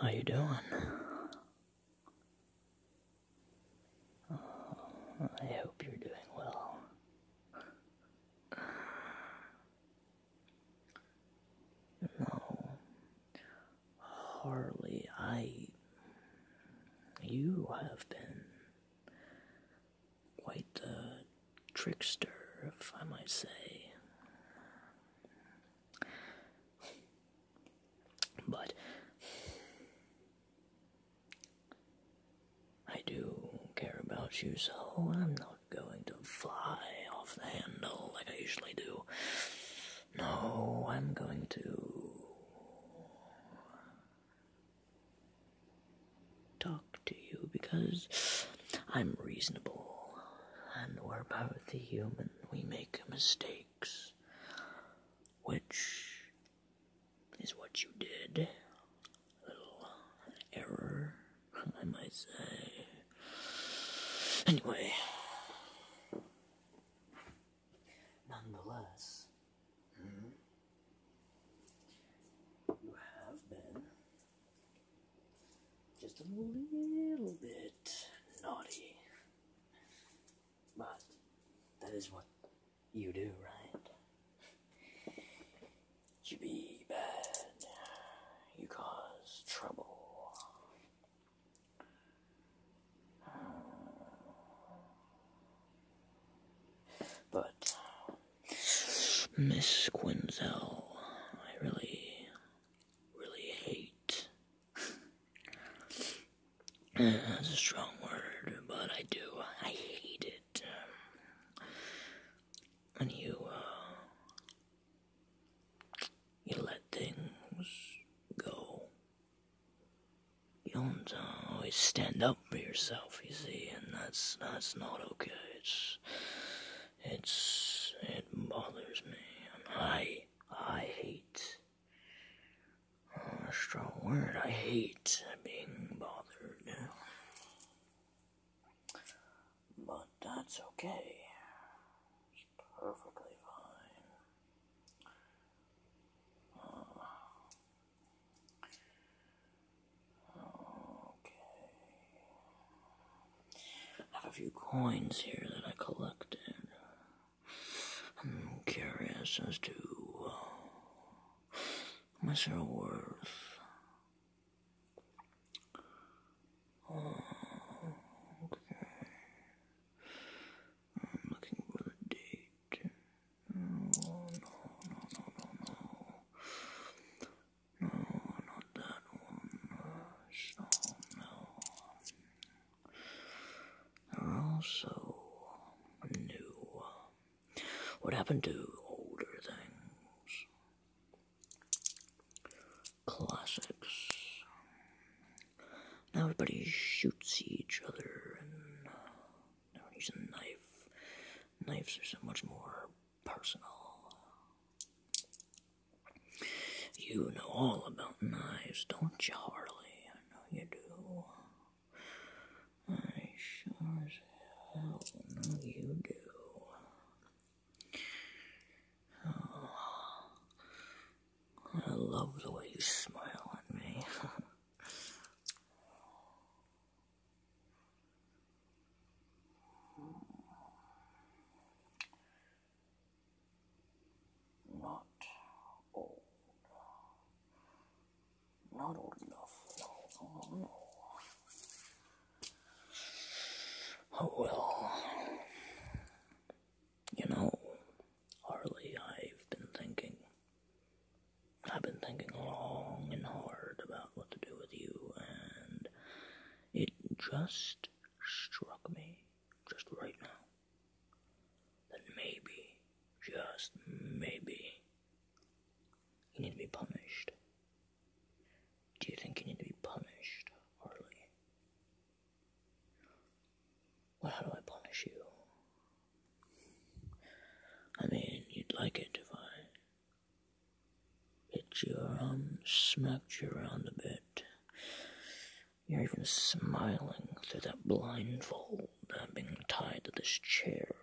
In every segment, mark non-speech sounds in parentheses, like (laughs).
How you doing? Oh, I hope you're doing well. No, Harley, I. You have been quite the trickster, if I might say. But I do care about you, so I'm not going to fly off the handle like I usually do. No, I'm going to talk to you because I'm reasonable and we're both human. We make mistakes, which is what you did. A little error, I might say. Anyway, nonetheless, you have been just a little bit naughty. But that is what you do, right? You be bad. You cause trouble. But, Miss Quinzel, I really, really hate. (laughs) That's a strong word, but I do. I hate it. And you, uh, you let things go. You don't uh, always stand up for yourself, you see, and that's that's not okay. It's it's it bothers me, I I hate. Uh, a strong word. I hate being bothered, but that's okay. It's perfectly fine. Okay. I have a few coins here that I collected. I'm curious as to what's uh, their worth. Uh, okay. I'm looking for a date. no, no, no, no, no. No, not that one. So, no. They're all um, new. What happened to older things? Classics. Now everybody shoots each other and uh, now use Knives are so much more personal. You know all about knives, don't you, Harley? I know you do. I sure as hell know you do. Oh, I love the way you smile at me. Not old. Not old enough. no. Oh well. You know, Harley, I've been thinking. I've been thinking long and hard about what to do with you, and it just struck me, just right now, that maybe, just maybe, you need to be punished do you think you need to be punished, Harley? Well, how do I punish you? I mean, you'd like it if I hit you around, um, smacked you around a bit. You're even smiling through that blindfold I'm being tied to this chair.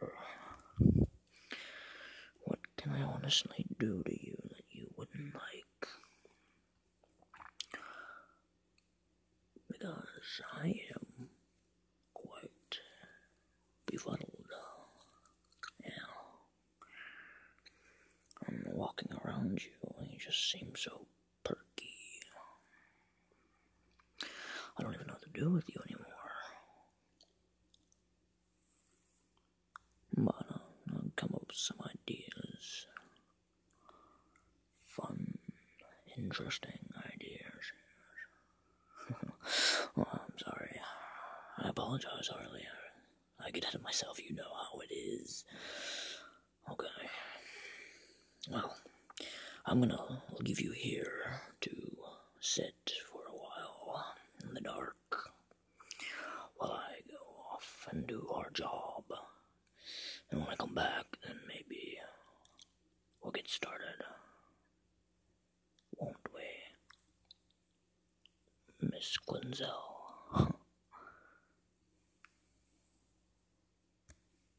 What can I honestly do to you that you wouldn't like? Because I am quite befuddled. Yeah. I'm walking around you and you just seem so perky. I don't even know what to do with you anymore. But uh, i come up with some ideas. Fun, interesting ideas. (laughs) Oh, I'm sorry. I apologize earlier. I get ahead of myself, you know how it is. Okay. Well, I'm gonna leave you here to sit for a while in the dark while I go off and do our job. And when I come back, then maybe we'll get started. Won't we? Miss Quinzel. (laughs)